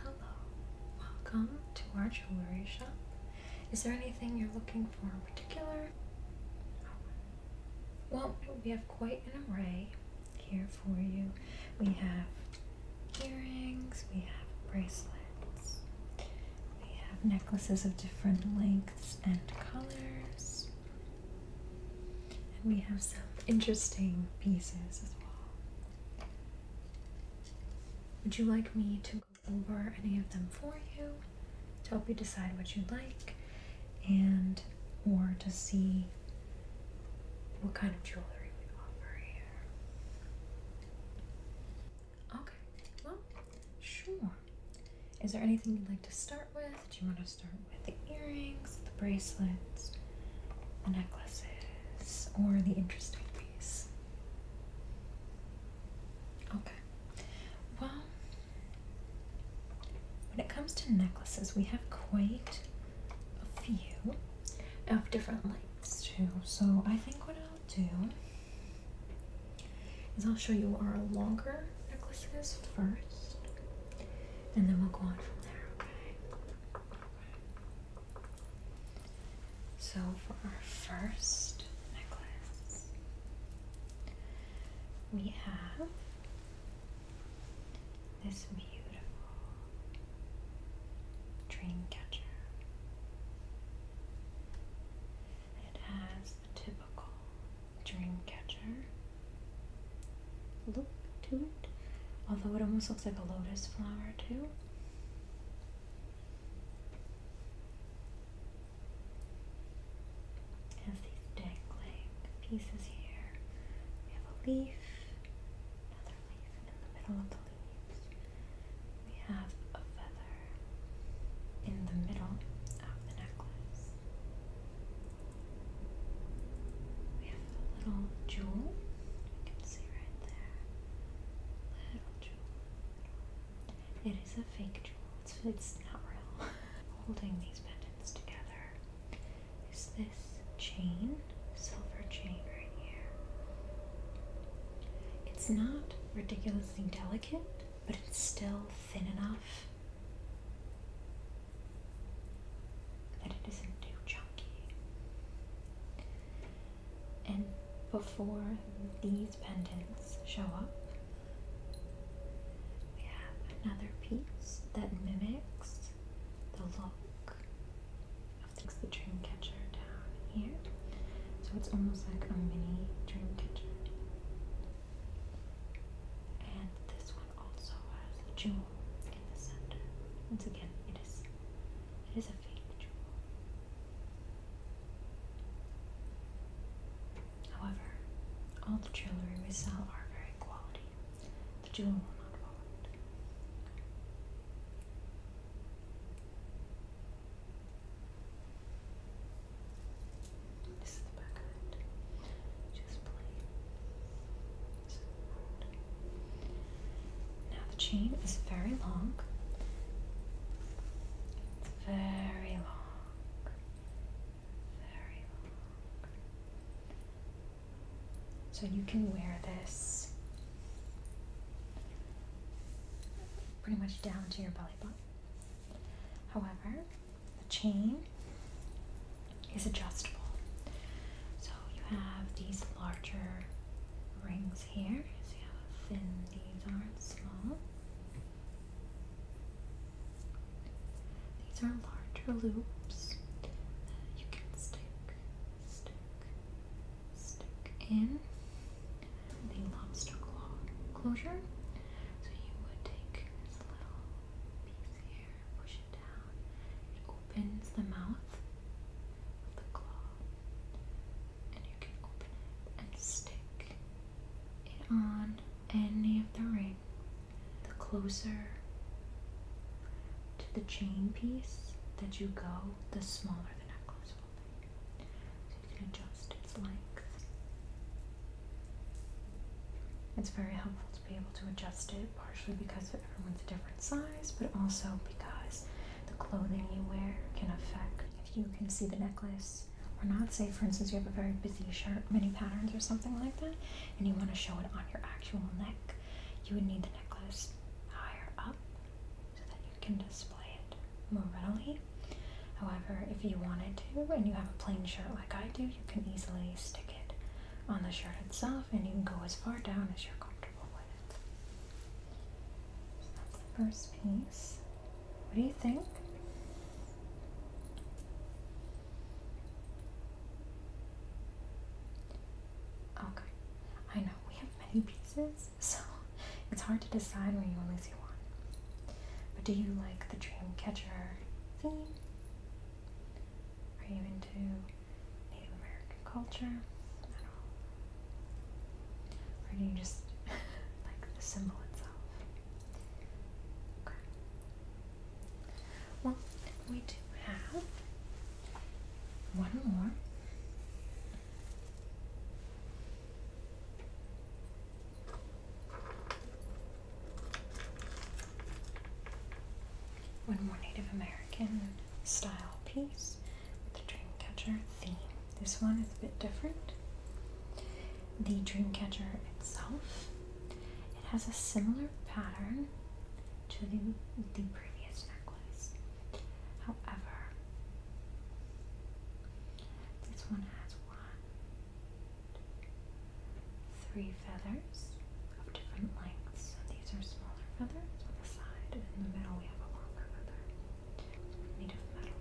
Hello, welcome to our jewelry shop. Is there anything you're looking for in particular? Well, we have quite an array here for you. We have earrings, we have bracelets, we have necklaces of different lengths and colors, and we have some interesting pieces as well. Would you like me to go over any of them for you to help you decide what you like and or to see what kind of jewelry we offer here? Okay, well, sure. Is there anything you'd like to start with? Do you want to start with the earrings, the bracelets, the necklaces? or the interesting piece. Okay. Well, when it comes to necklaces, we have quite a few of different lengths too. So I think what I'll do is I'll show you our longer necklaces first, and then we'll go on from there. Okay. So for our first necklace, we have this beautiful dream catcher. It has the typical dream catcher look to it, although it almost looks like a lotus flower too. Has these dangling pieces here. We have a leaf, another leaf, in the middle of the leaves, we have a feather in the middle of the necklace. We have a little jewel. It is a fake jewel. It's, it's not real. Holding these pendants together is this chain, silver chain right here. It's not ridiculously delicate, but it's still thin enough that it isn't too chunky. And before these pendants show up, we have another piece that mimics the look of the dream catcher down here. So it's almost like a mini dream catcher. And this one also has a jewel in the center. Once again, it is it is a fake jewel. However, all the jewelry we sell are very quality. The jewel will not fall out. This is the back of Just plain. Now the chain is very long. very long. Very long. So you can wear this pretty much down to your belly button. However, the chain is adjustable. So you have these larger rings here. See how thin these are not small. These are larger loops that you can stick, stick, stick in the lobster claw closure. So you would take this little piece here, push it down, opens the mouth of the claw, and you can open and stick it on any of the ring. The closer to the chain piece that you go, the smaller the necklace will be. So you can adjust its length. It's very helpful to be able to adjust it, partially because because a different size, but also because the clothing you wear can affect if you can see the necklace or not. Say, for instance, you have a very busy shirt, many patterns, or something like that, and you want to show it on your actual neck, you would need the necklace higher up so that you can display it more readily. However, if you wanted to and you have a plain shirt like I do, you can easily stick it on the shirt itself and you can go as far down as you're comfortable with. it. First piece. What do you think? Okay. I know we have many pieces, so it's hard to decide when you only see one. But do you like the dream catcher theme? Are you into Native American culture Or do you just like the symbol itself? Okay. Well, we do have one more. One more Native American style piece the Dreamcatcher theme. This one is a bit different. The Dreamcatcher itself, it has a similar pattern to the, the previous necklace. However, this one has three feathers of different lengths, these are smaller feathers on the side, and in the middle we have a longer feather made of metal.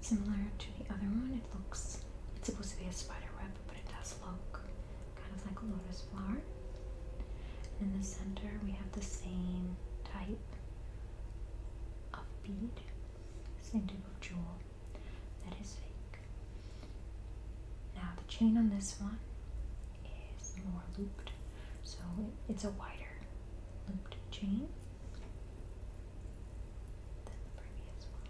similar to the other one, it looks, it's supposed to be a spider web, but it does look kind of like a lotus flower. in the center we have the same type of bead, same type of jewel that is fake. Now the chain on this one is more looped, so it's a wider looped chain than the previous one.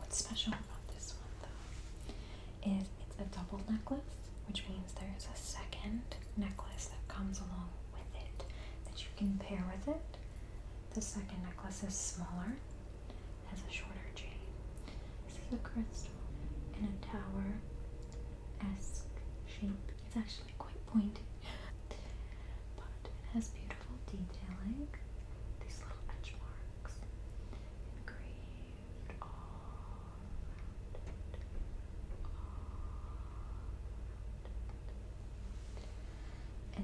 What's special about this one, though, is it's a double necklace, which means there is a second necklace that comes along with it that you can pair with it. The second necklace is smaller, has a shorter chain. This is a crystal in a tower esque shape. It's actually quite pointy, but it has beautiful detailing. These little edge marks engraved all around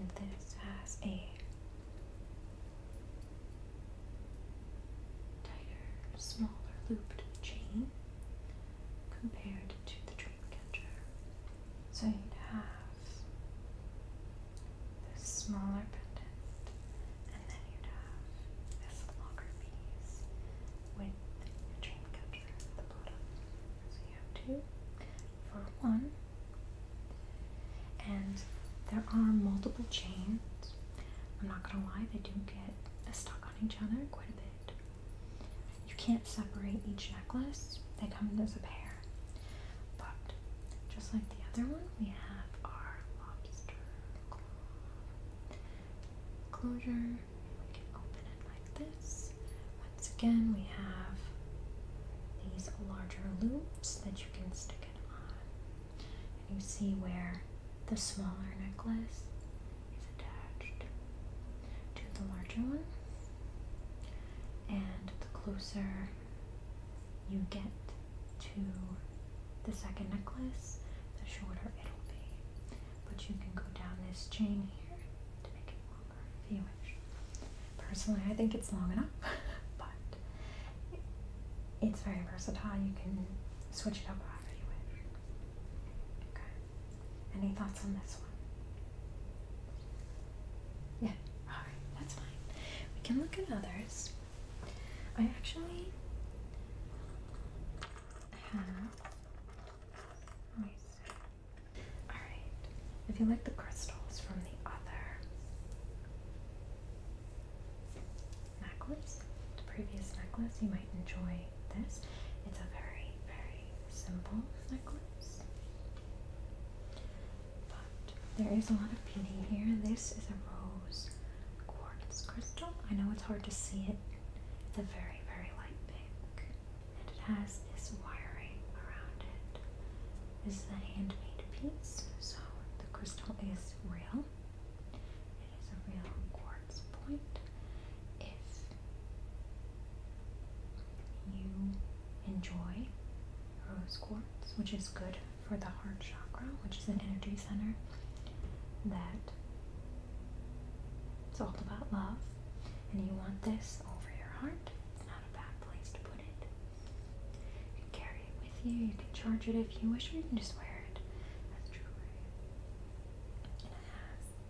And this has a tighter, smaller looped chain compared to the dreamcatcher. So you'd have this smaller pendant, and then you'd have this longer piece with the dreamcatcher at the bottom. So you have two for one. And there are multiple chains. I'm not gonna lie, they do get stuck on each other quite a bit. You can't separate each necklace, they come as a pair. But just like the other one, we have our lobster closure. We can open it like this. Once again, we have these larger loops that you can stick it on. And you see where the smaller necklace is attached to the larger one. And the closer you get to the second necklace, the shorter it'll be. But you can go down this chain here to make it longer if you wish. Personally, I think it's long enough, but it's very versatile. You can switch it up off anyway. Okay. Any thoughts on this one? Yeah. All right. That's fine. We can look at others. I actually have. All right. If you like the crystals from the other necklace, the previous necklace, you might enjoy this. It's a very, very simple necklace. But there is a lot of beauty here. This is a rose quartz crystal. I know it's hard to see it. It's a very, very light pink. And it has this wiring around it. This is a handmade piece, so the crystal is real. It is a real quartz point. If you enjoy rose quartz, which is good for the heart chakra, which is an energy center that it's all about love, and you want this over your heart, it's not a bad place to put it. You can carry it with you, you can charge it if you wish, or you can just wear it as jewelry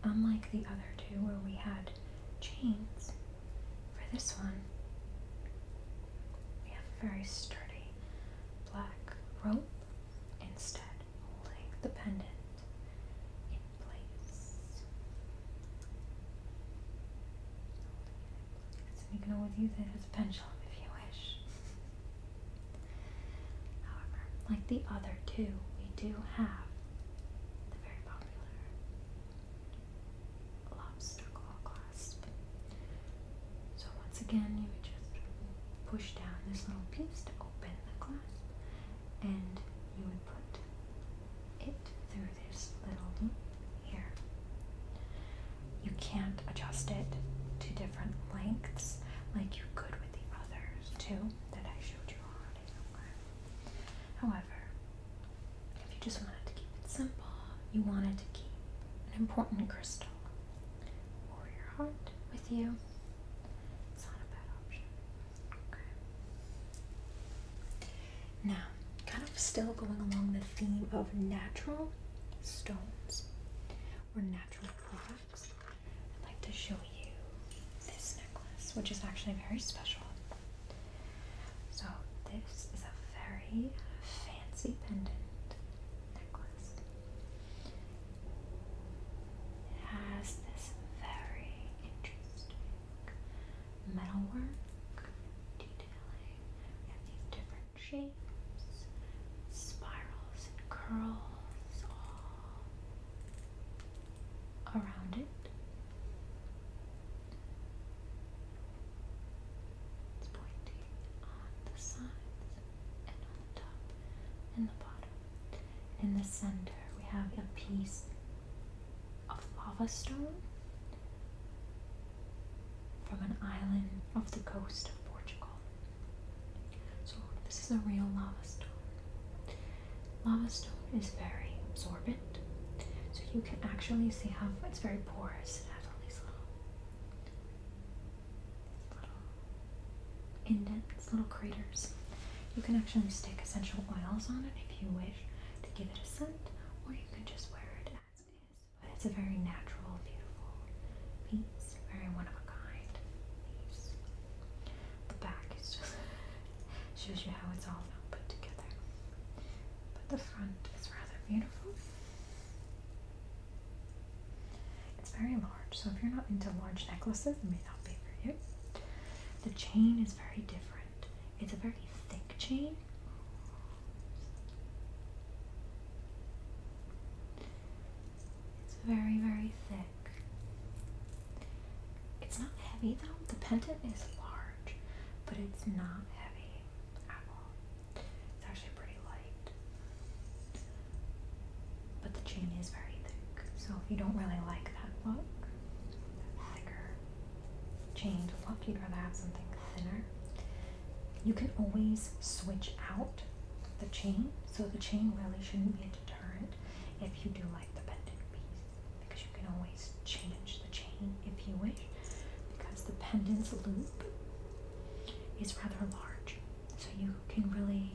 unlike the other two where we had chains, for this one we have a very sturdy black rope instead holding the pendant in place. Holding you can always use it as a pendulum if you wish. However, like the other two, we do have the very popular lobster claw clasp. So once again, you would just push down this little piece to open the clasp, and you would put it through this little loop here. You can't adjust it to different different lengths like you could with the others too that I showed you already. Okay. However, if you just wanted to keep it simple, you wanted to keep an important crystal or your heart with you, it's not a bad option. Okay. Now, kind of still going along the theme of natural stones or natural products. I'd like to show you this necklace, which is actually very special. So, this is a very fancy pendant necklace. It has this very interesting metalwork detailing. We these different shapes spirals and curls all around it. It's pointing on the sides and on the top and the bottom. In the center, we have a piece of lava stone from an island off the coast of Portugal. So, this is a real lava stone. Lava stone is very absorbent, so you can actually see how it's very porous. It has all these little, little indents, little craters. You can actually stick essential oils on it if you wish to give it a scent, or you can just wear it as is. But it's a very natural, beautiful piece. It's very one of a kind. The back shows you how it's all put together. But the front is rather beautiful. It's very large, so if you're not into large necklaces, it may not be for you. The chain is very different. It's a very thick chain. It's very, very thick. It's not heavy though. The pendant is large, but it's not heavy at all. It's actually pretty light. But the chain is very thick. So if you don't really like that look, that thicker chain look, you'd rather have something thinner. You can always switch out the chain so the chain really shouldn't be a deterrent if you do like the pendant piece because you can always change the chain if you wish because the pendant's loop is rather large. So you can really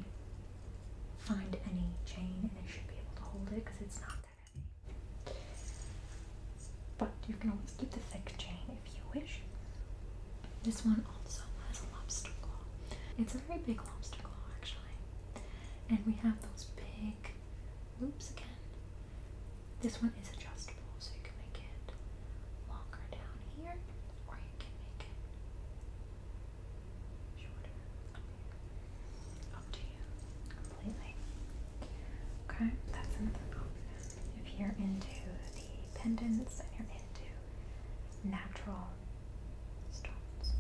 find any chain and it should be able to hold it because it's not that heavy. But you can always keep the thick chain if you wish. This one also has a lobster claw. It's a very big lobster claw, actually. And we have those big loops again. This one is adjustable, so you can make it longer down here, or you can make it shorter up to you completely. Okay, that's another option. If you're into pendants and you're into natural stones.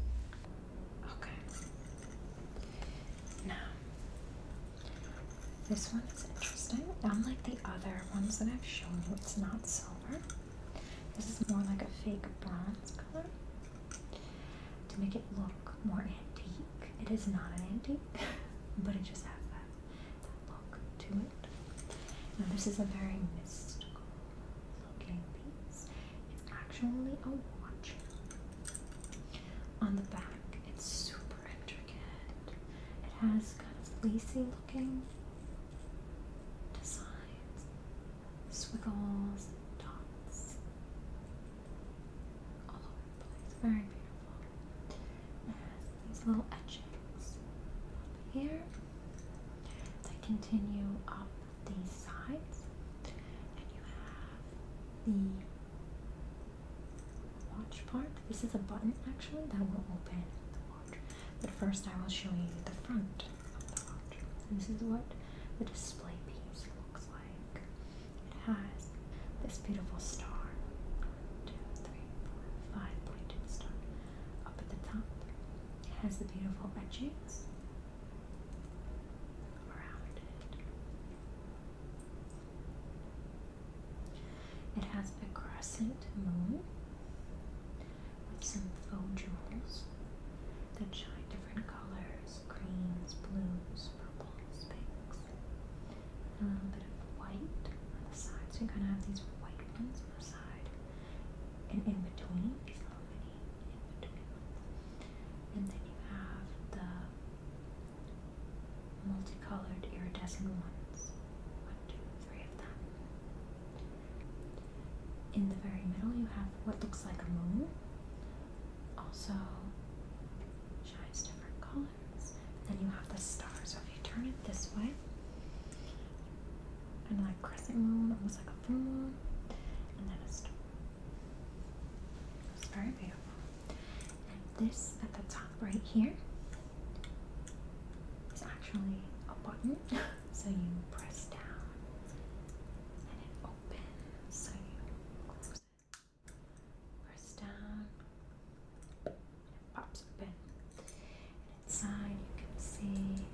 Okay. Now, this one is interesting. Unlike the other ones that I've shown you, it's not silver. This is more like a fake bronze color to make it look more antique. It is not an antique, but it just has that, that look to it. Now, this is a very mystical looking It's actually a watch. On the back, it's super intricate. It has kind of lacy looking designs, swiggles, and dots all over the place. Very beautiful. It has these little etchings up here that continue up these sides, and you have the watch part. This is a button actually that will open the watch, but first I will show you the front of the watch. This is what the display piece looks like. It has this beautiful star, one, two, three, four, five pointed star up at the top. It has the beautiful edges around it. It has a crescent moon with some faux jewels that shine different colors greens, blues, purples, pinks, a little bit of white on the sides. So you kind of have these white ones on the side and in between and then you have the multicolored iridescent ones one two three of them in the very middle you have what looks like a moon also shines different colors then you have the stars so if you turn it this way and like crescent moon, almost like a moon, and then It's very beautiful. And this at the top right here is actually a button, so you press down and it opens, so you close it. Press down, and it pops open. And inside you can see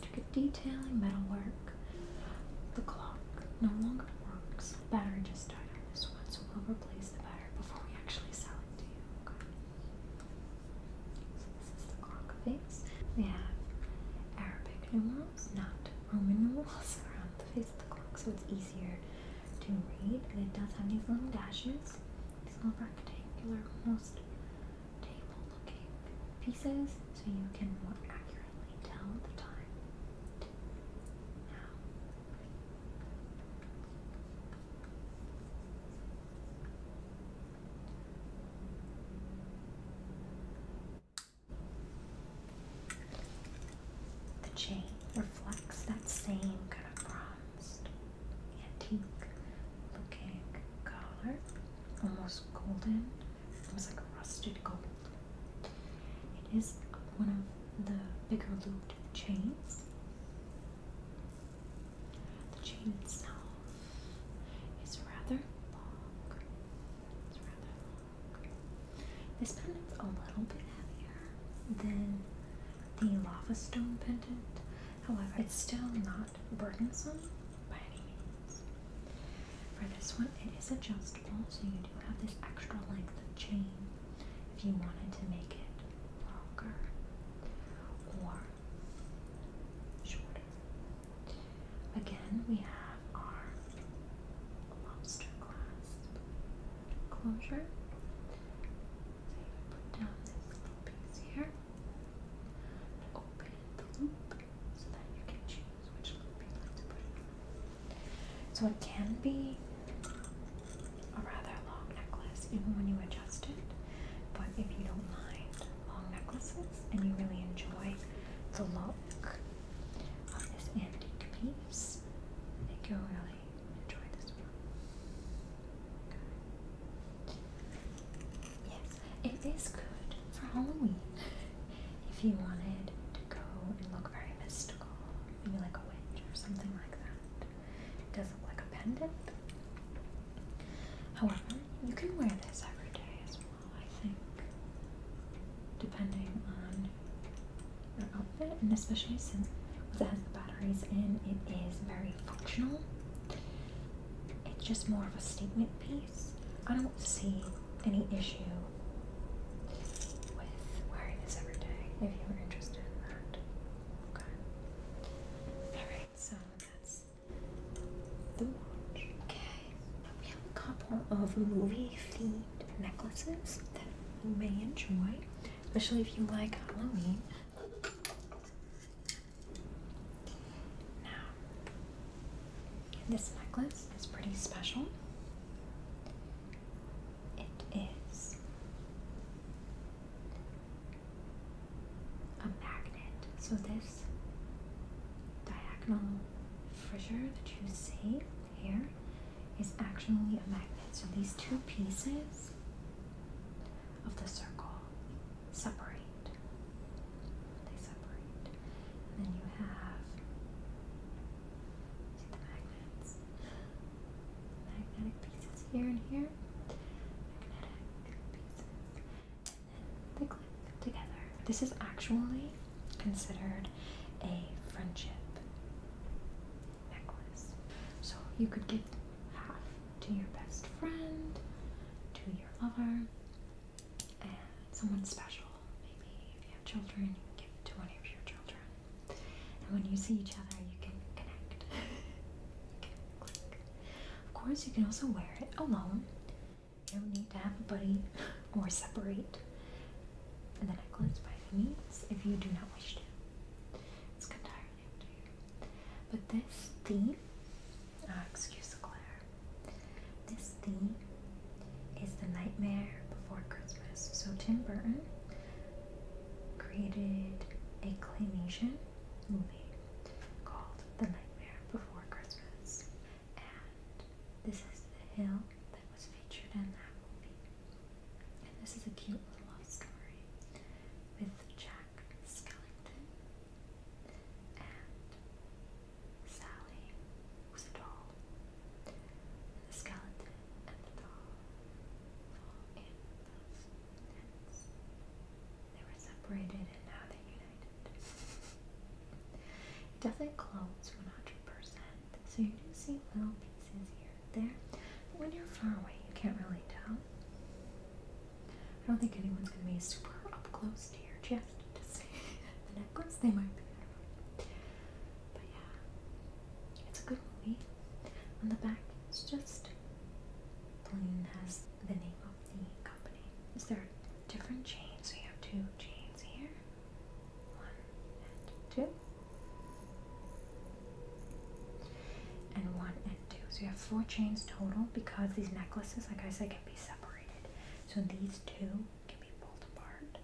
intricate detailing, metalwork. The clock no longer works. The battery just died on this one, so we'll replace the battery before we actually sell it to you. Okay. So this is the clock face. We have Arabic numerals, not Roman numerals around the face of the clock, so it's easier to read. And it does have these little dashes, these little rectangular, almost pieces so you can more accurately tell the time. the chain reflects that same kind of bronze antique looking collar, almost golden, almost like a rusted gold. It is one of the bigger looped chains. The chain itself is rather long. This pendant is a little bit heavier than the lava stone pendant. However, it's still not not burdensome by any means. For this one, it is adjustable, so you do have this extra length of chain if you wanted to make it longer or shorter. Again, we have our lobster clasp closure. So put down this little piece here so it can be a rather long necklace even when you adjust it, but if you don't mind long necklaces and you really enjoy the look of this antique piece, I think you'll really enjoy this one. Yes, it is good for Halloween. If you wanted to go and look very mystical, maybe like a witch or something like that. It doesn't look like a pendant. However, you can wear this every day as well, I think. Depending on your outfit, and especially since it has the batteries in, it is very functional. It's just more of a statement piece. I don't see any issue with wearing this every day if you were interested in that. Okay. Alright, so that's the watch. Okay. We have a couple of movie themed necklaces that you may enjoy, especially if you like Halloween. Now, this necklace is pretty special. It is a magnet. So, this diagonal fissure that you see here is actually a magnet. So, these two pieces of the circle separate. They separate. And then you have see the magnets. Magnetic pieces here and here. Magnetic pieces. And then they click together. This is actually considered a friendship necklace. So you could give half to your best friend, to your lover, and someone special. Maybe if you have children, you can give to one of your children. And when you see each other, you can connect. Of course, you can also wear it alone. You don't need to have a buddy or separate the necklace by any means if you do not wish to. It's entirely up to But this theme Ah, excuse excuse Claire. This theme is The Nightmare Before Christmas. So Tim Burton created a claymation movie called The Nightmare Before Christmas. And this is the hill that was featured in that movie. And this is a cute little love story with Jack skeleton. And Sally was a doll. skeleton and the doll fall in those nets. They were separated and now they're united. it doesn't close 100%, so you do see little pieces here and there. But when you're far away, you can't really tell. I don't think anyone's gonna be super up close to your chest to see the necklace. They might be, but yeah, it's a good movie. On the back, it's just plain has the name of the company. Is there different chains? So you have two chains here. One and two. And one and two. So you have four chains total because these necklaces, like I said, be separated. So these two can be pulled apart.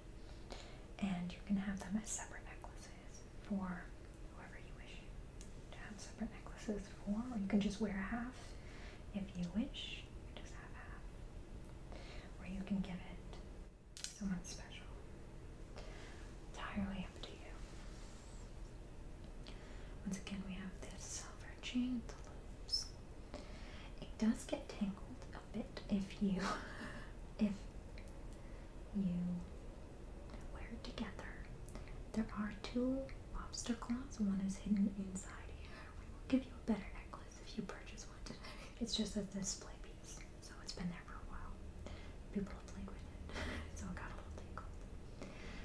And you can have them as separate necklaces for whoever you wish to have separate necklaces for. Or you can just wear half if you wish. just have half. Or you can give it someone special. Entirely up to you. Once again, we have this silver it does get tangled a bit if you if you wear it together. There are two lobster claws. One is hidden inside here. We will give you a better necklace if you purchase one today. It's just a display piece, so it's been there for a while. People have played with it, so it got a little tangled.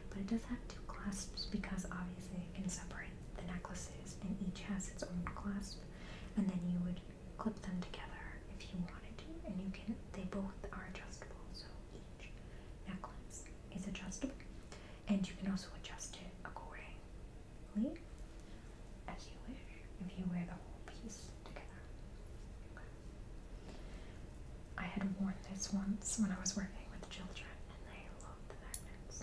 But it does have two clasps because obviously you can separate the necklaces and each has its own clasp. And then you would clip them together if you wanted to. And you can, they both are adjustable. So each necklace is adjustable. And you can also adjust it accordingly as you wish if you wear the whole piece together. I had worn this once when I was working with children, and I love the magnets.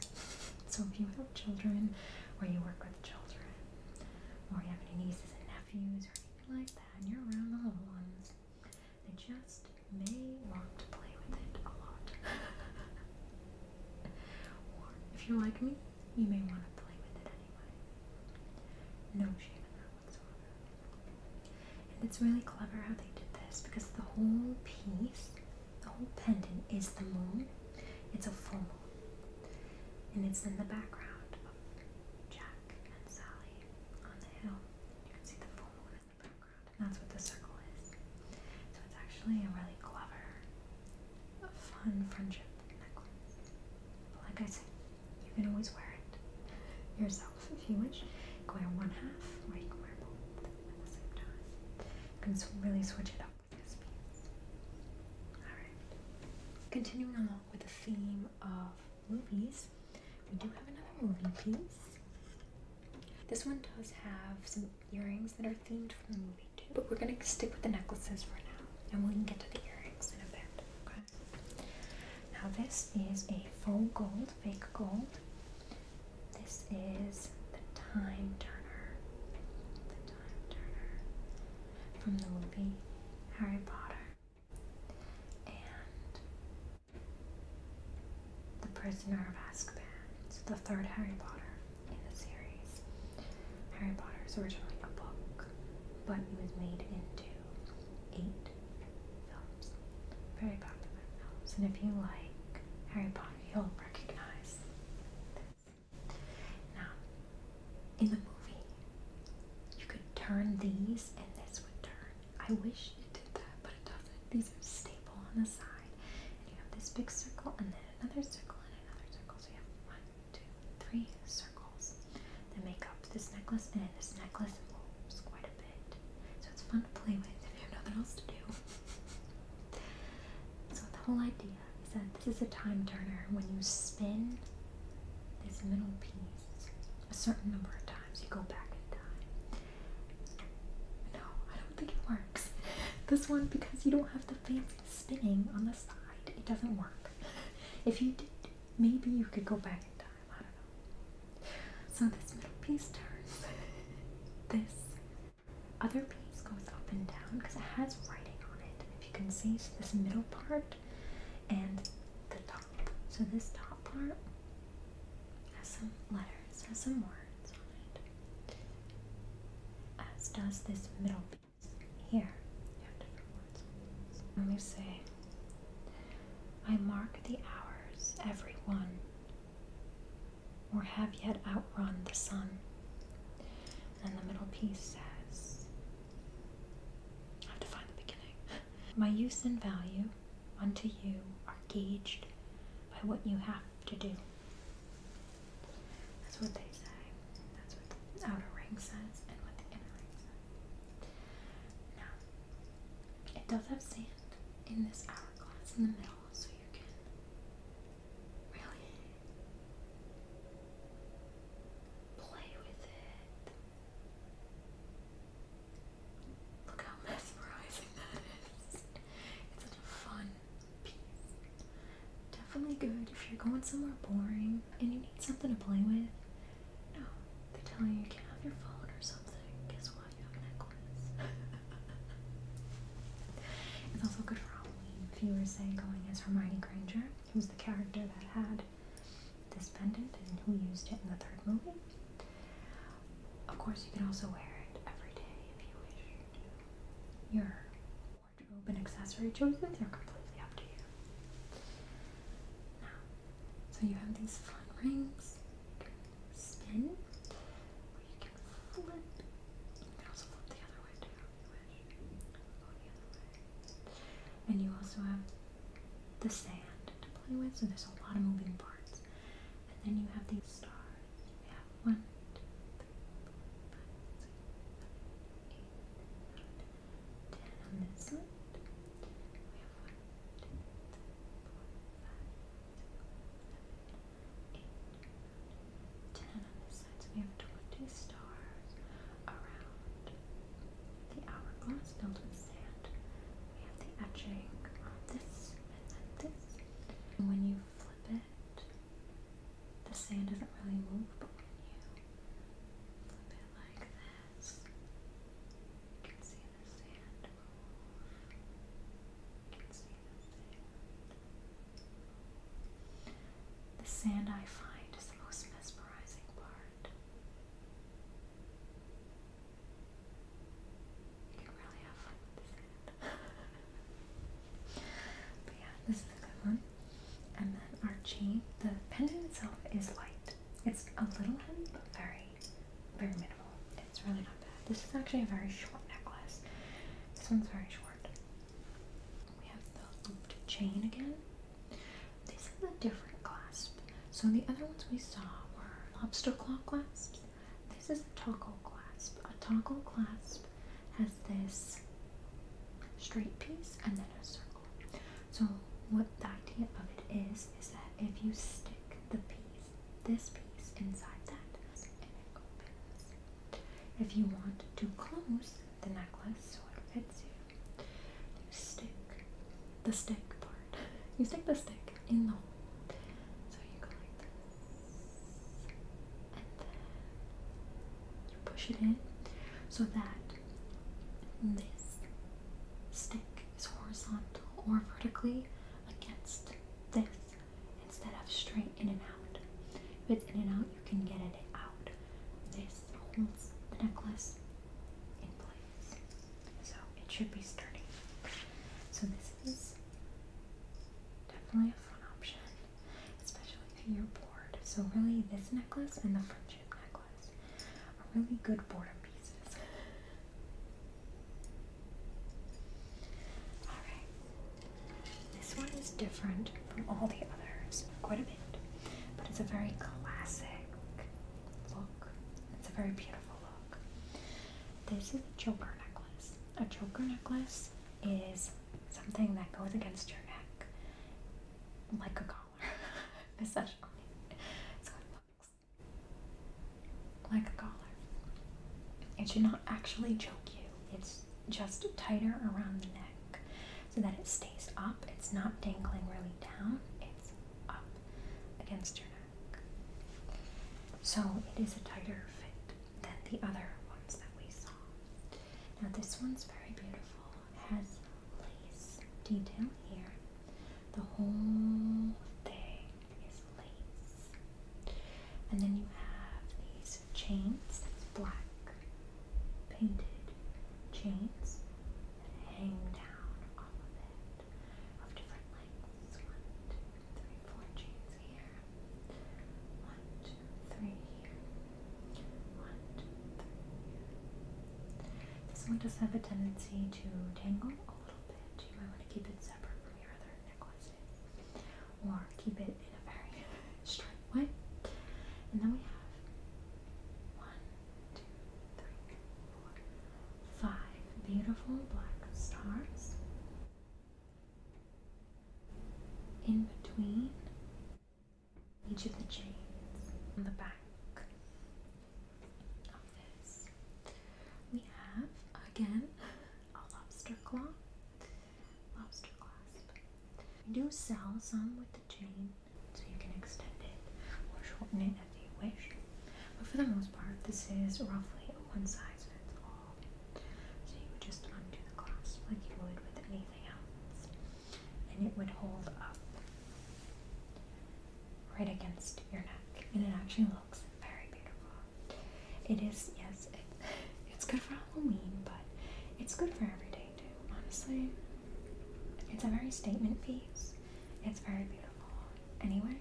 so if you have children, or you work with children, or you have any nieces and nephews or anything like that, and you're around the little ones, they just may want to play with it a lot. or if you're like me, you may want to play with it anyway. No shame in that whatsoever. And it's really clever how they did this because the whole piece, the whole pendant is the moon. It's a full moon. And it's in the background of Jack and Sally on the hill. You can see the full moon in the background. And that's what the circle is. So it's actually a really clever, fun friendship necklace. But like I said, you can always wear it yourself yourself if you wish. You can wear one half or you can wear both at the same time. You can really switch it up with this piece. Alright. Continuing along with the theme of movies, we do have another movie piece. This one does have some earrings that are themed from the movie too, but we're gonna stick with the necklaces for now and we can get to the earrings in a bit. Okay. Now this is a faux gold, fake gold. This is the Time Turner. The Time Turner from the movie Harry Potter. And The Prisoner of Azkaban. It's the third Harry Potter in the series. Harry Potter is originally a book, but it was made into eight films. Very popular films. And if you like Harry Potter, you'll recognize this. Now, in the movie, you could turn these and this would turn. I wish it did that, but it doesn't. These are staple on the side. And you have this big circle and then another circle and another circle. So you have one, two, three circles that make up this necklace. And this necklace moves quite a so it's fun to play with if you have nothing else to do. so the whole idea is that this is a time turner. When you spin this middle piece a certain number of times, you go back in time. No, I don't think it works. This one, because you don't have the fancy spinning on the side, it doesn't work. If you did, maybe you could go back in time. I don't know. So this middle piece turns. this other piece goes up and down because it has writing on it. If you can see, so this middle part and the top. So this top part has some letters, has some words on it. As does this middle piece here. Let me see. I mark the hours, every one or have yet outrun the sun. And the middle piece says, I have to find the beginning. My use and value unto you are gauged by what you have to do. That's what they say. That's what the outer ring says and what the inner ring says. Now, it does have sand in this hourglass in the middle so you can really play with it. Look how mesmerizing that is. It's such a fun piece. Definitely good if you're going somewhere boring and you need something to play with. No, they tell you you can't have your phone or something. Guess it's also good for Halloween. Viewers say going as Hermione Granger, who's the character that had this pendant and who used it in the third movie. Of course, you can also wear it every day if you wish. Your wardrobe and accessory choices are completely up to you. Now, so you have these fun rings. You can spin, and you also have the sand to play with, so there's a lot of moving parts. And then you have these stars. We have one, two, three, four, five, six, seven, eight, nine, ten on this one. We have one, two, three, four, five, six, seven, eight, nine, ten. 10 on this side, we have 20 stars around the hourglass filled with sand. We have the etching on this and then this. when you flip it, the sand doesn't really move, but when you flip it like this, you can see the sand I find is the most mesmerizing part. You can really have fun with the sand. but yeah, this is a good one. And then our chain, the pendant itself is light. It's a little heavy, but very very minimal. It's really not bad. This is actually a very short necklace. This one's very short. We have the looped chain again. This is a different clasp. So the other ones we saw were lobster claw clasps. This is a toggle clasp. A toggle clasp has this straight piece and then a circle. So what the idea of it is is that if you stick the piece, this piece inside that, if you want to close the necklace, so it fits you? You stick the stick part. You stick the stick in the hole. So you go like this. And then you push it in so that this stick is horizontal or vertically against this instead of straight in and out. If it's in and out, you can get it out. This holds the necklace in place. So it should be sturdy. So this is definitely a fun option, especially if you're bored. So really this necklace and the friendship necklace are really good boredom pieces. Alright. This one is different from all the others quite a bit, but it's a very classic look. It's a very beautiful look. This is a Joker necklace. A Joker necklace is something that goes against your neck like a collar, essentially. It's got buttons like a collar. It should not actually choke you. It's just tighter around the neck so that it stays up. It's not dangling really down. It's up against your neck. So it is a tighter fit than the other ones that we saw. Now this one's very beautiful. It has lace detail here. The whole thing his lace. And then you have these chains, black painted chains that hang down off of it of different lengths. One, two, three, four chains here. One, two, three This one does have a tendency to tangle a little bit. You might want to keep it separate from your other or keep it in a very straight way. And then we have one, two, three, four, five beautiful black stars in between each of the chains on the back of this. We have again a lobster claw, lobster clasp. We do sell some with the chain, so you can extend it or shorten it if you wish. But for the most part, this is roughly a one size fits all. So you would just undo the clasp like you would with anything else, and it would hold up right against your neck, and it actually looks very beautiful. It is, yes, it, it's good for Halloween, but it's good for every day too, honestly. It's a very statement piece. It's very beautiful. Anyway,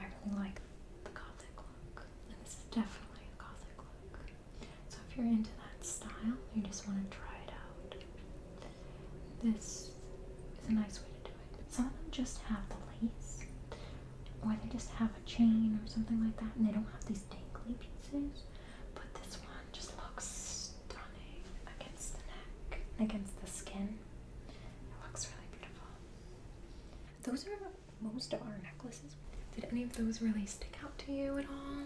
I really like the Gothic look, and this is definitely a Gothic look. So if you're into that style, you just want to try it out, this is a nice way to do it. Some of them just have the lace, or they just have a chain or something like that, and they don't have these dangly pieces. But this one just looks stunning against the neck, against the skin. It looks really beautiful. Those are most of our necklaces. Did any of those really stick out to you at all?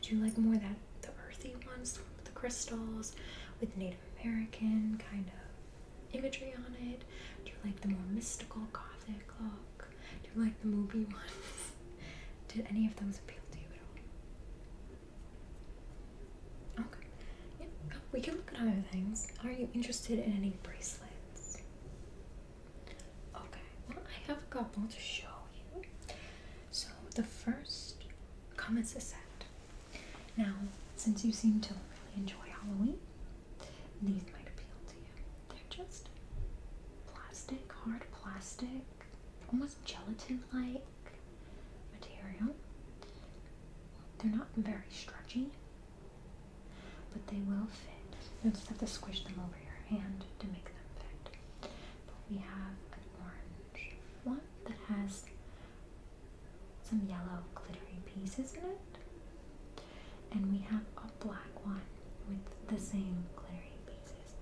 Did you like more that the earthy ones, the, crystals, with Native American kind of imagery on it? Do you like the more mystical gothic look? Do you like the movie ones? Did any of those appeal to you at all? Okay. Yeah, oh, we can look at other things. Are you interested in any bracelets? Okay, well, I have a couple to show you. So, the first comes as a set. Now, since you seem to really enjoy Halloween, these might appeal to you. They're just plastic, hard plastic, almost gelatin-like material. They're not very stretchy, but they will fit. You'll just have to squish them over your hand to make them fit. But we have an orange one that has some yellow glittery pieces in it. And we have a black one with the same glittery pieces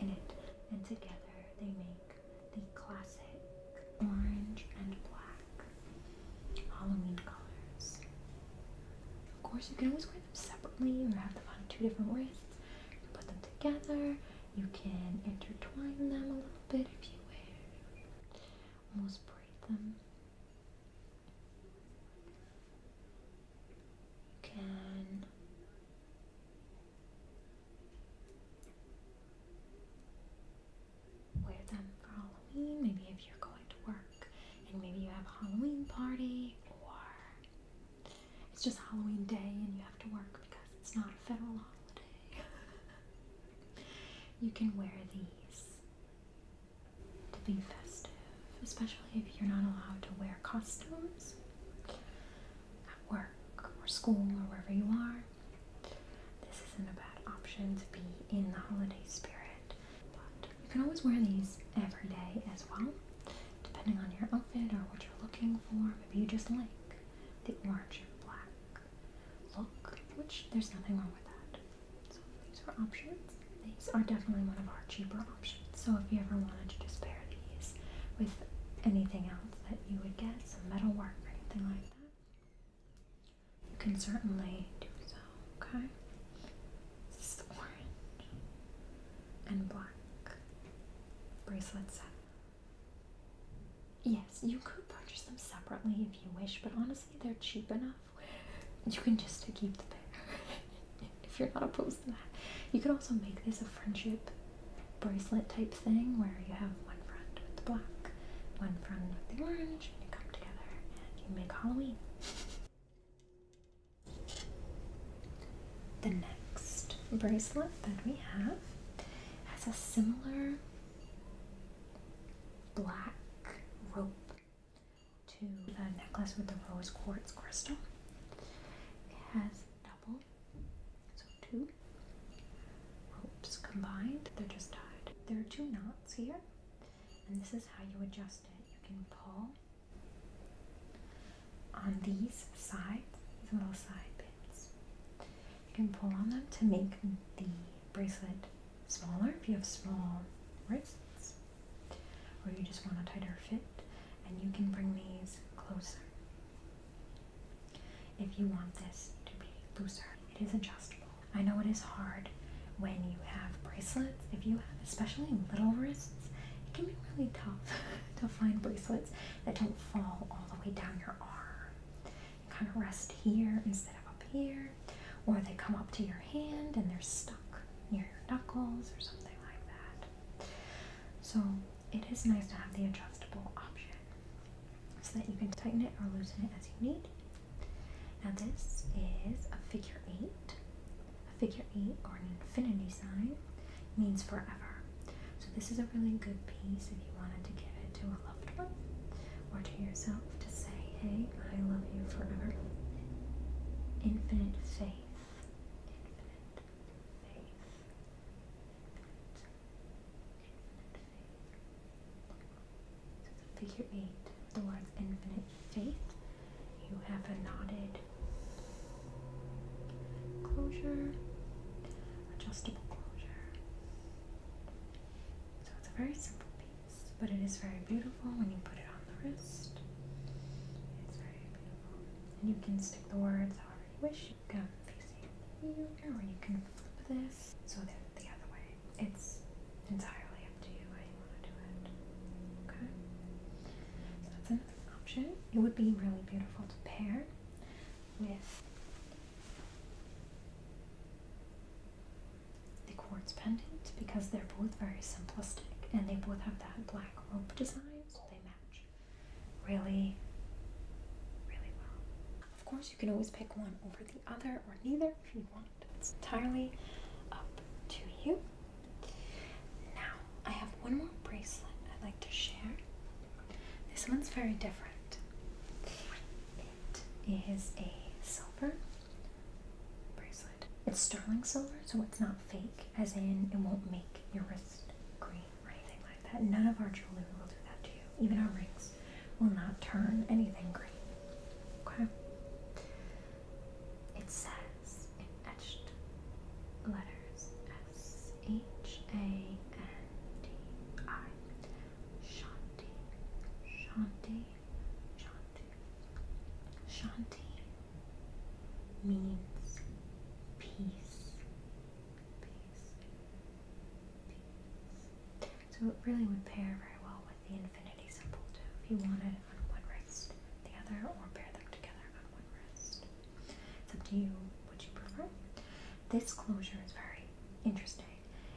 in it. And together they make the classic orange and black Halloween colors. Of course, you can always wear them separately or have them on two different wrists. You can put them together. You can intertwine them a little bit if you wish. Almost braid them can wear them for Halloween. Maybe if you're going to work and maybe you have a Halloween party or it's just Halloween day and you have to work because it's not a federal holiday. you can wear these to be festive, especially if you're not allowed to wear costumes at work or school or wherever you are. This isn't a bad option to be in the holiday spirit, but you can always wear these every day as well, depending on your outfit or what you're looking for. Maybe you just like the orange and black look, which there's nothing wrong with that. So these are options. These are definitely one of our cheaper options. So if you ever wanted to just pair these with anything else that you would get, some metal work or anything like that, you can certainly do so, okay? This is the orange and black bracelet set. Yes, you could purchase them separately if you wish, but honestly, they're cheap enough you can just keep the pair if you're not opposed to that. You could also make this a friendship bracelet type thing where you have one friend with the black, one friend with the orange, and you come together and you make Halloween. The next bracelet that we have has a similar black rope to the necklace with the rose quartz crystal. It has double, so two ropes combined. They're just tied. There are two knots here, and this is how you adjust it. You can pull on these sides, these little side pins. You can pull on them to make the bracelet smaller if you have small wrists or you just want a tighter fit and you can bring these closer if you want this to be looser it is adjustable i know it is hard when you have bracelets if you have especially little wrists it can be really tough to find bracelets that don't fall all the way down your arm kind of rest here instead of up here, or they come up to your hand and they're stuck near your knuckles or something like that. So it is nice to have the adjustable option so that you can tighten it or loosen it as you need. Now this is a figure eight. A figure eight or an infinity sign means forever. So this is a really good piece if you wanted to give it to a or to yourself to say, hey, I love you forever. Infinite faith. Infinite faith. Infinite, infinite faith. figure eight, the word infinite faith. You have a knotted closure, adjustable closure. So it's a very simple piece but it is very beautiful when you put it on the wrist. It's very beautiful. And you can stick the words I already wish. You can facing here, or you can flip this so that the other way. It's entirely up to you how you want to do it. Okay? So that's an option. It would be really beautiful to pair with the quartz pendant because they're both very simplistic and they both have that black rope design, so they match really, really well. Of course, you can always pick one over the other or neither if you want. It's entirely up to you. Now, I have one more bracelet I'd like to share. This one's very different. It is a silver bracelet. It's sterling silver, so it's not fake, as in it won't make your wrist green or anything like that. None of our jewelry will do that to you. Even our rings will not turn anything green. Okay? It says in etched letters S H A N D I Shanti. Shanti. Shanti. Shanti means peace. So it really would pair very well with the infinity symbol too. If you want it on one wrist, the other, or pair them together on one wrist. It's up to you what you prefer. This closure is very interesting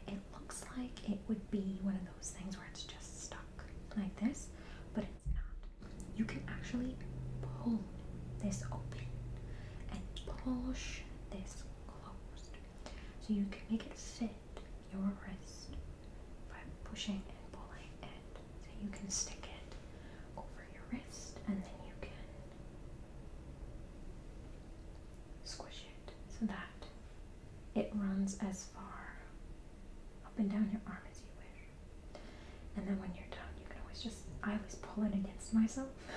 it looks like it would be one of those things where it's just stuck like this, but it's not. You can actually pull this open and push this closed. So you can make it fit your wrist by pushing and pulling it. So you can stick it over your wrist and then you can squish it so that it runs as far up and down your arm as you wish. And then when you're done, you can always just, I always pull it against myself.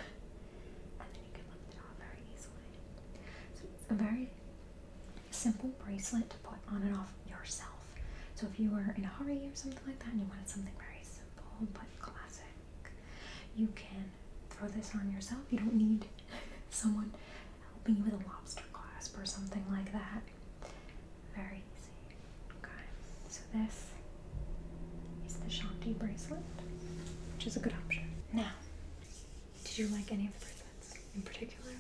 and then you can lift it off very easily. So it's a very simple bracelet to put on and off yourself. So if you were in a hurry or something like that and you wanted something very simple but classic, you can throw this on yourself. You don't need someone helping you with a lobster clasp or something like that. Very easy. Okay, so this is the Shanti bracelet, which is a good option. Now, did you like any of the bracelets in particular?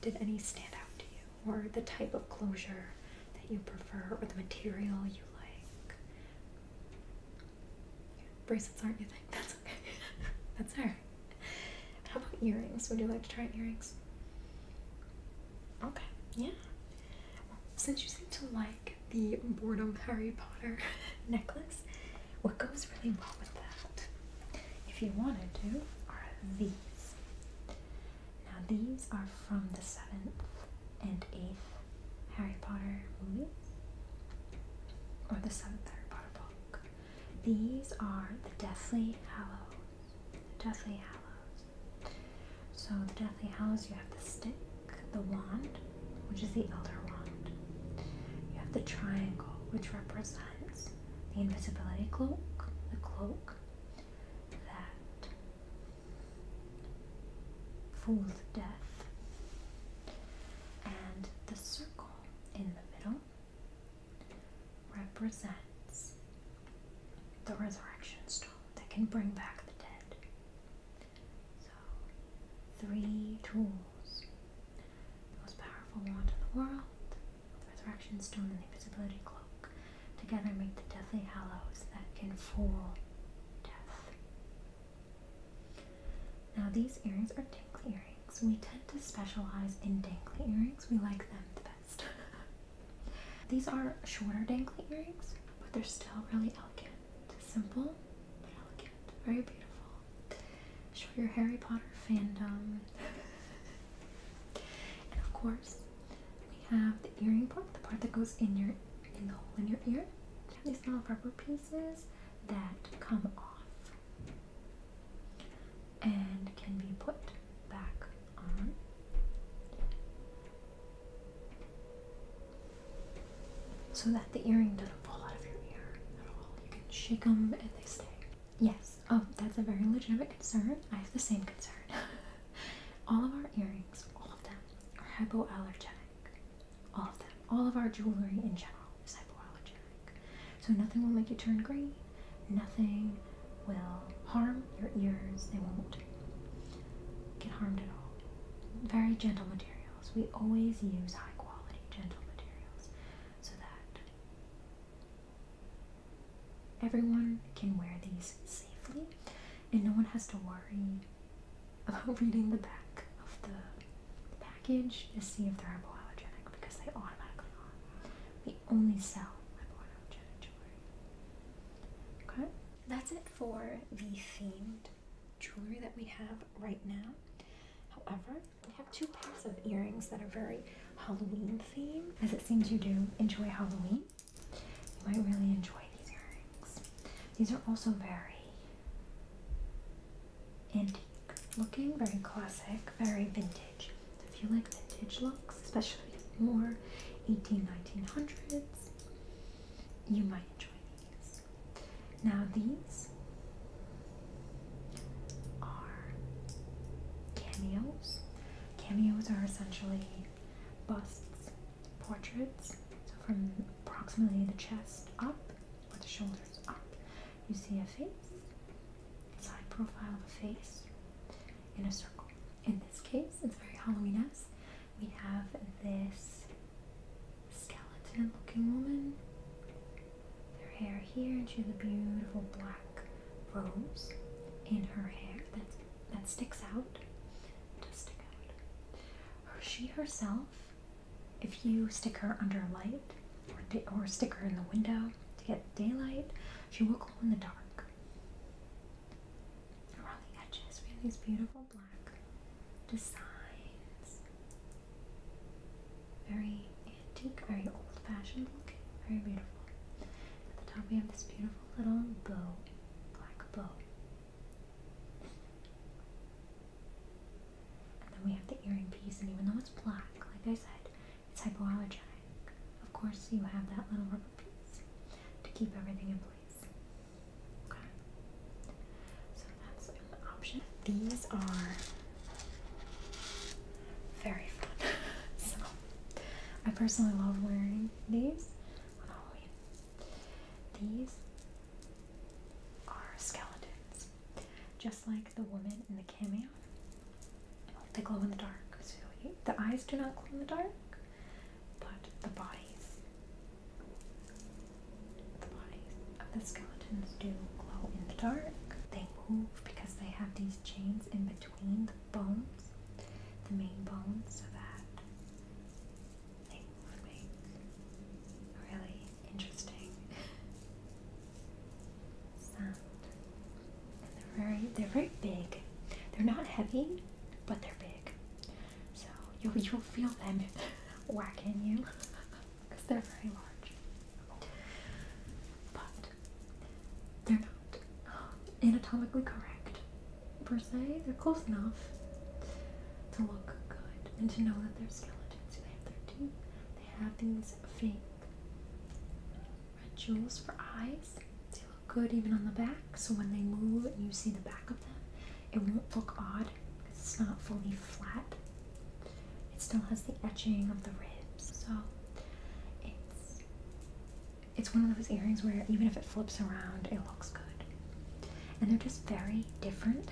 Did any stand out to you? Or the type of closure that you prefer, or the material you like? Bracelets aren't you think? That's okay. That's her. How about earrings? Would you like to try earrings? Okay, yeah. Well, since you seem to like the boredom Harry Potter necklace, what goes really well with that, if you wanted to, are these. Now, these are from the seventh and eighth Harry Potter movies, or the seventh Harry Potter book. These are the Deathly Hallows. The Deathly Hallows. So the Deathly Hallows, you have the stick, the wand, which is the Elder Wand. You have the triangle, which represents the invisibility cloak, the cloak that fools death, and the circle in the middle, represents the resurrection stone that can bring back the dead. So, three tools the most powerful wand in the world, the resurrection stone, and the invisibility cloak together make the deathly hallows that can fool death. Now, these earrings are dangly earrings. We tend to specialize in dangly earrings, we like them the best. these are shorter dangly earrings, but they're still really elegant. Simple, but elegant. Very beautiful. Show your Harry Potter fandom. and of course, we have the earring part, the part that goes in your in the hole in your ear. these little rubber pieces that come off and can be put back on. So that the earring doesn't fall out of your ear at all. You can shake them and they stay. Yes, oh, that's a very legitimate concern. I have the same concern. all of our earrings, all of them, are hypoallergenic. All of them all of our jewelry in general is hypoallergenic. So nothing will make you turn green, nothing will harm your ears, they won't get harmed at all. Very gentle materials. We always use high quality gentle materials so that everyone can wear these safely and no one has to worry about reading the back of the package to see if they're hypoallergenic because they automatically are. We only sell hypoallergenic jewelry. Okay? That's it for the themed jewelry that we have right now. However, we have two pairs of earrings that are very Halloween themed, as it seems you do enjoy Halloween. You might really enjoy these earrings. These are also very antique looking, very classic, very vintage. if you like vintage looks, especially more eighteen, nineteen hundreds, you might enjoy these. Now these are cameos. Cameos are essentially busts, portraits, so from approximately the chest up or the shoulders up you see a face, side profile of a face in a circle. In this case, it's very Halloween-esque. We have this skeleton-looking woman. Her hair here, and she has a beautiful black rose in her hair that that sticks out. Does stick out. she herself if you stick her under a light or, stick her in the window to get daylight, she will glow in the dark. Around the edges, we have these beautiful black designs. Very antique, very old fashioned looking, very beautiful. At the top, we have this beautiful little bow, black bow. And then we have the earring piece, and even though it's black, like I said, it's hypoallergenic. Of course, you have that little rubber piece to keep everything in place. Okay. So that's an option. These are very fun. so I personally love wearing these on Halloween. These are skeletons. Just like the woman in the cameo. They glow in the dark. So the eyes do not glow in the dark, but the bodies, the bodies of the skeletons do glow in the dark. They move because they have these chains in between the bones, the main bones, so that they make really interesting sound. they're very they're very big. They're not heavy, but they're big. So you'll you'll feel them whacking you because they're very large. But they're not anatomically correct per se. They're close enough to look good and to know that they're skeletons. They have their teeth. They have these fake Red jewels for eyes. They look good even on the back, so when they move and you see the back of them, it won't look odd it's not fully flat. It still has the etching of the ribs, so it's it's one of those earrings where even if it flips around, it looks good. And they're just very different.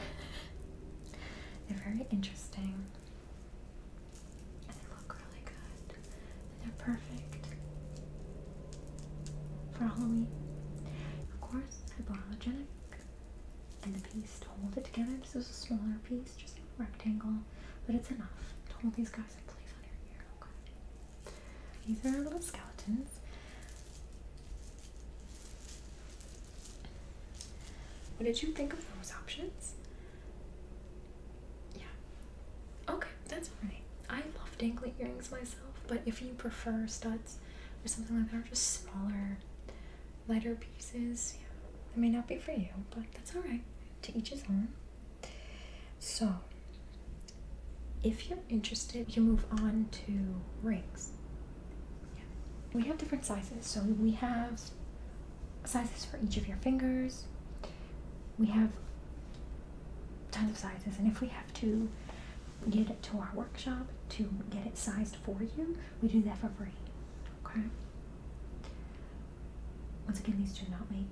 they're very interesting they look really good. they're perfect for Halloween. Of course, I and the piece to hold it together. This is a smaller piece, just a rectangle, but it's enough to hold these guys in place on your ear. Okay. These are little skeletons. What did you think of those options? Yeah. Okay, that's alright. I love dangly earrings myself, but if you prefer studs or something like that, or just smaller, lighter pieces, yeah, that may not be for you, but that's alright. To each his own. So, if you're interested, you move on to rings. Yeah. We have different sizes. So, we have sizes for each of your fingers. We have tons of sizes, and if we have to get it to our workshop to get it sized for you, we do that for free. Okay? Once again, these do not make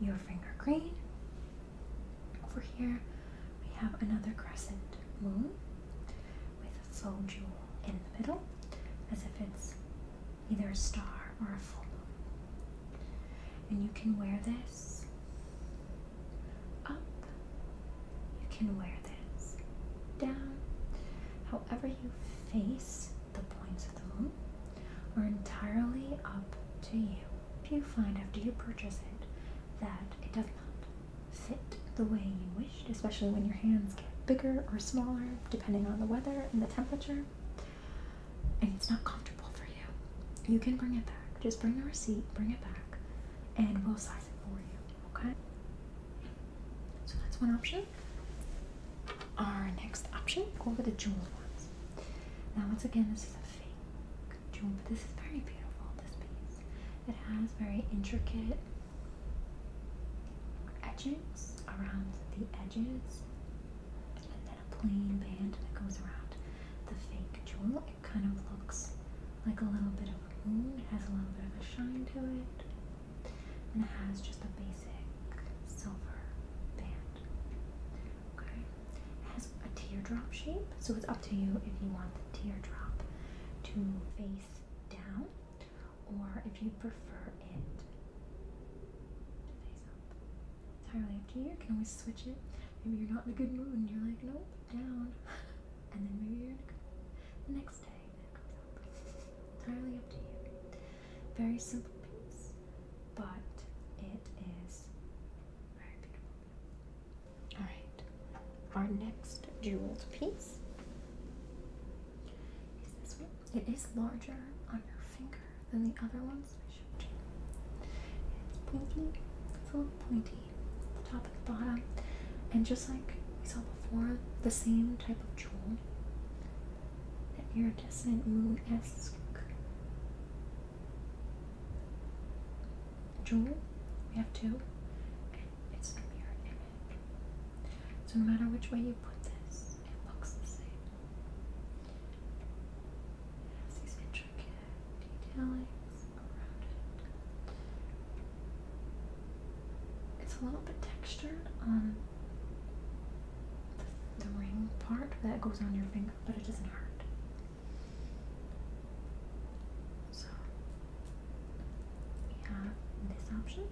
your finger green. Over here, we have another crescent moon with a soul jewel in the middle, as if it's either a star or a full moon. And you can wear this up, you can wear this down, however you face the points of the moon are entirely up to you. If you find after you purchase it that it does not fit the way you wished, especially when your hands get bigger or smaller, depending on the weather and the temperature, and it's not comfortable for you. You can bring it back. Just bring the receipt, bring it back, and we'll size it for you, okay? So that's one option. Our next option, go for the jewel ones. Now, once again, this is a fake jewel, but this is very beautiful, this piece. It has very intricate edges around the edges and then a plain band that goes around the fake jewel. It kind of looks like a little bit of a moon. It has a little bit of a shine to it. And it has just a basic silver band. Okay. It has a teardrop shape, so it's up to you if you want the teardrop to face down or if you prefer it to face up. entirely up to you. You can always switch it. Maybe you're not in a good mood and you're like, no, down. And then maybe you're in a good mood. The next day, entirely up to you. Very simple piece, but it is very beautiful. Alright, our next jewel piece it is larger on your finger than the other ones I showed you. It's pointy. It's a little pointy, at the top and the bottom, and just like we saw before, the same type of jewel. that iridescent moon-esque jewel. We have two, it's a mirror image. So no matter which way you put this, it looks the same. It has these intricate detailings around it. It's a little bit textured on the, the ring part that goes on your finger, but it doesn't hurt. So we have this option.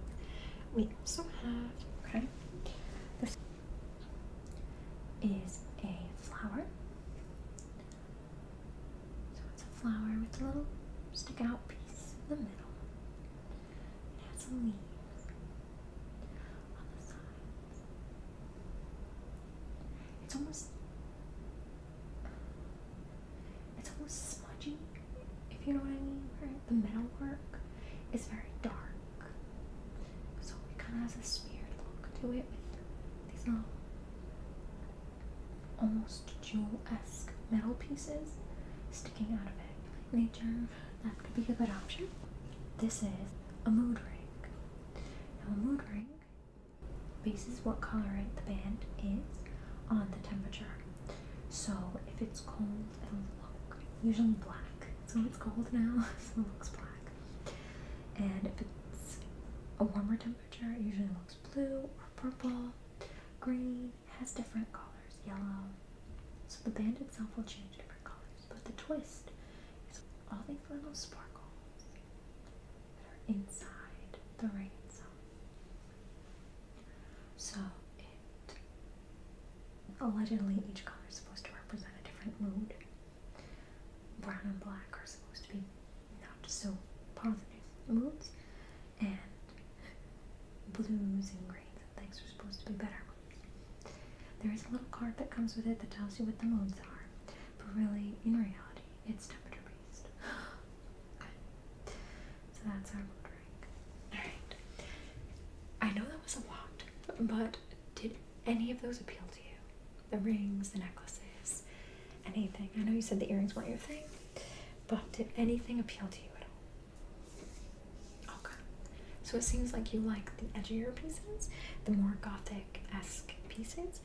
We also have okay. This is a flower. So it's a flower with a little stick out piece in the middle. It has a leaf on the sides. It's almost it's almost smudgy, if you know what I mean, right? The metalwork is very dark. So it kind of has this weird look to it with these little almost jewel-esque metal pieces sticking out of it. Like nature, that could be a good option. This is a mood ring. Now a mood ring bases what color the band is on the temperature so if it's cold, it'll look usually black. So it's cold now, so it looks black. And if it's a warmer temperature, it usually looks blue or purple. Green has different colors, yellow. So the band itself will change different colors, but the twist is all these little sparkles that are inside the rain zone. So it allegedly each color is supposed to represent a different mood. Brown and black are supposed to be not so positive moods, and blues and greens and things are supposed to be better There is a little card that comes with it that tells you what the moods are, but really, in reality, it's temperature based. okay. So that's our mood Alright. I know that was a lot, but did any of those appeal to you? The rings, the necklaces, anything? I know you said the earrings weren't your thing, but did anything appeal to you at all? Okay. So it seems like you like the edgier pieces, the more gothic esque pieces.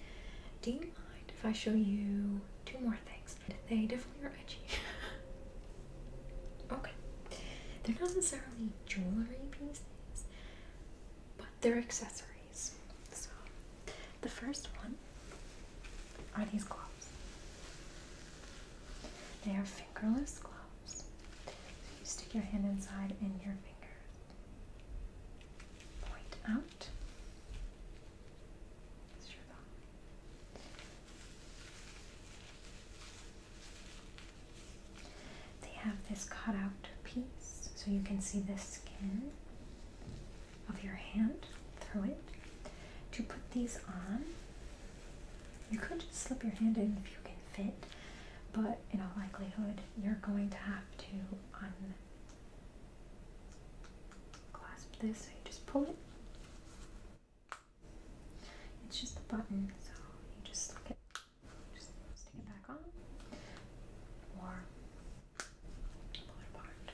Do you mind if I show you two more things. They definitely are edgy. okay. They're not necessarily jewelry pieces, but they're accessories. So, the first one are these gloves. They are fingerless gloves. you stick your hand inside and your fingers point out. They have this cut out piece so you can see the skin of your hand through it. To put these on, you could just slip your hand in if you can fit, but in all likelihood, you're going to have to unclasp this. So you just pull it it's just a button, so you just stick it, just stick it back on, or pull it apart,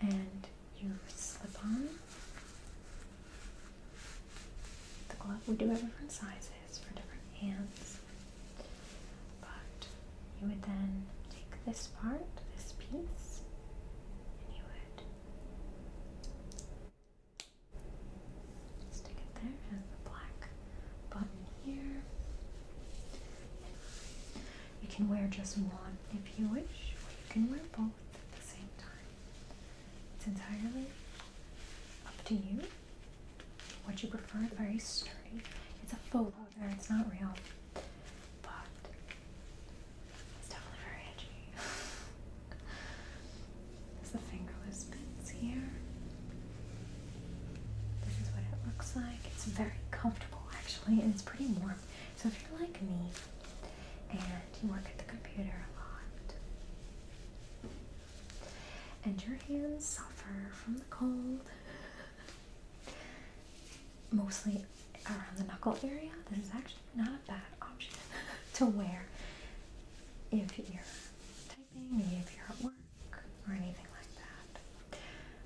and you slip on the glove. We do have different sizes for different hands, but you would then take this part, this piece, and you would Stick it there and the black button here. You can wear just one if you wish, or you can wear both at the same time. It's entirely up to you Would you prefer. Very sturdy. It's a faux leather, it's not real but it's definitely very edgy. There's the fingerless bits here. This is what it looks like. It's very comfortable actually, and it's pretty warm. So if you're like me and you work at the computer a lot, and your hands suffer from the cold. Mostly around the knuckle area, this is actually not a bad option to wear if you're typing, if you're at work or anything like that.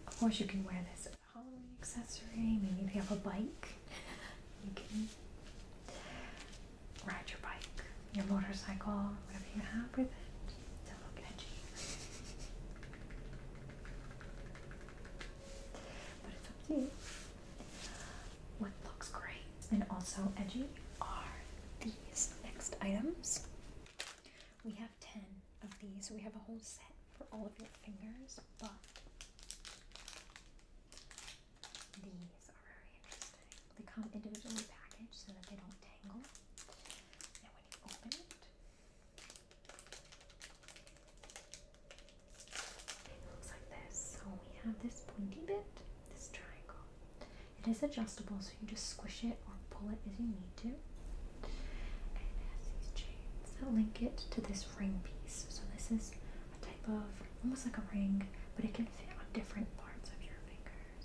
Of course, you can wear this as a Halloween accessory. Maybe if you have a bike, you can ride your bike, your motorcycle, whatever you have with it to look edgy. But it's up to you. What looks great and also edgy are these next items. We have 10 of these, so we have a whole set for all of your fingers, but these are very interesting. They come individually packaged so that they don't tangle. And when you open it, it looks like this. So we have this pointy bit, this triangle. It is adjustable, so you just squish it or pull it as you need to. And it has these chains that link it to this ring piece. So this is a type of almost like a ring, but it can fit on different parts of your fingers.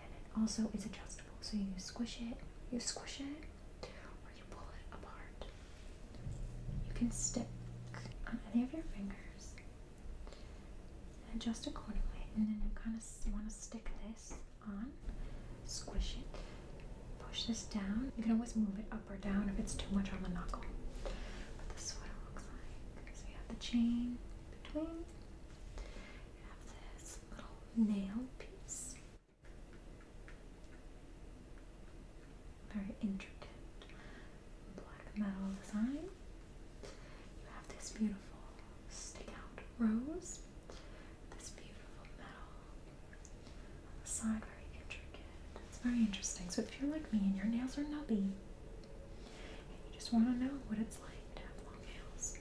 And it also is adjustable, so you squish it, you squish it, you pull it apart. You can stick on any of your fingers and adjust accordingly. And then you kind of want to stick this on, squish it, push this down. You can always move it up or down if it's too much on the knuckle. But this is what it looks like. So you have the chain between. You have this little nail piece. Very intricate black metal design. You have this beautiful stick out rose, this beautiful metal on the side, very intricate. It's very interesting. So, if you're like me and your nails are nubby, and you just want to know what it's like to have long nails,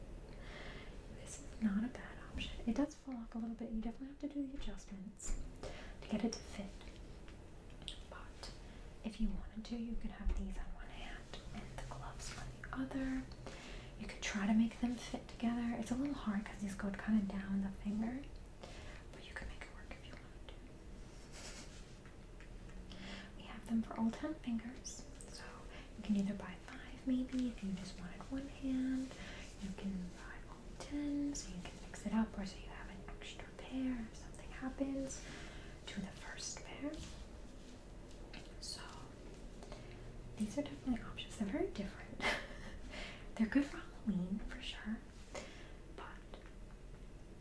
this is not a bad option. It does fall off a little bit. You definitely have to do the adjustments to get it to fit. But if you wanted to, you could have these on one hand and the gloves on the other. You could try to make them fit together. It's a little hard because these go kind of down the finger, but you can make it work if you want to. We have them for all 10 fingers, so you can either buy five maybe if you just wanted one hand. You can buy one. 10 so you can mix it up or so you have an extra pair if something happens to the first pair. So these are definitely options. They're very different. They're good for Halloween for sure. But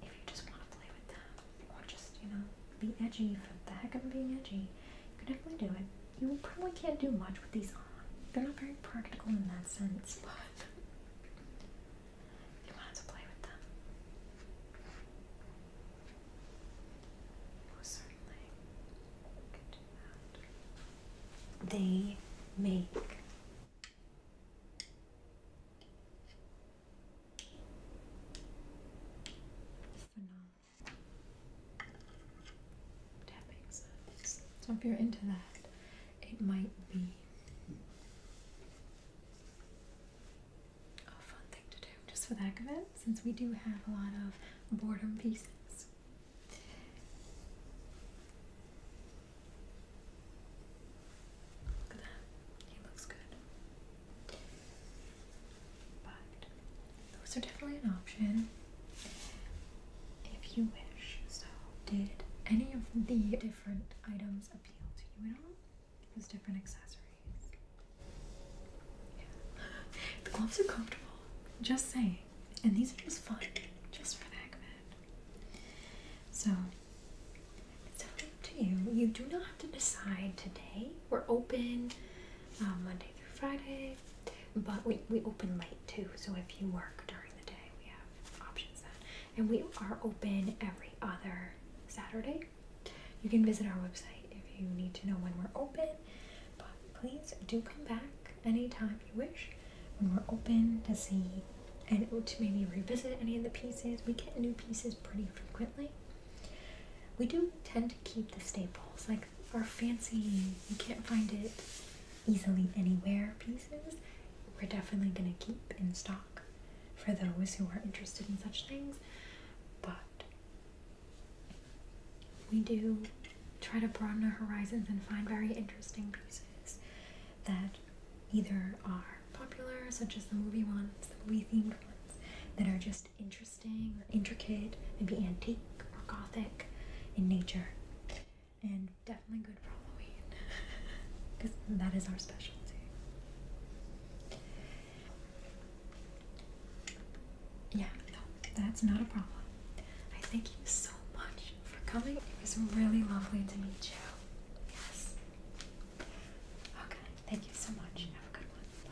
if you just want to play with them or just, you know, be edgy for the heck of being edgy, you can definitely do it. You probably can't do much with these they're not very practical in that sense, but you wanted to play with them. They make so if you're into that, it might be a fun thing to do just for the heck of it, since we do have a lot of boredom pieces. Look at that. He looks good. those are definitely an option if you wish. So, did any of the different items appeal to you at all? Those different accessories? Yeah. the gloves are comfortable, just saying. And these are just fun, just for the So, it's totally up to you. You do not have to decide today. We're open uh, Monday through Friday, but we, we open late too. So, if you work during the day. We have options then. And we are open every other Saturday. You can visit our website if you need to know when we're open. But please do come back anytime you wish when we're open to see and to maybe revisit any of the pieces. We get new pieces pretty frequently. We do tend to keep the staples, like our fancy, you can't find it easily anywhere pieces, we're definitely going to keep in stock for those who are interested in such things. But we do try to broaden our horizons and find very interesting pieces that either are popular, such as the movie ones, the movie themed ones, that are just interesting, intricate, maybe antique or gothic in nature and definitely good for Halloween because that is our specialty. Yeah, no, that's not a problem. I thank you so much for coming. It was really lovely to meet you. Yes. Okay, thank you so much. Have a good one. Bye.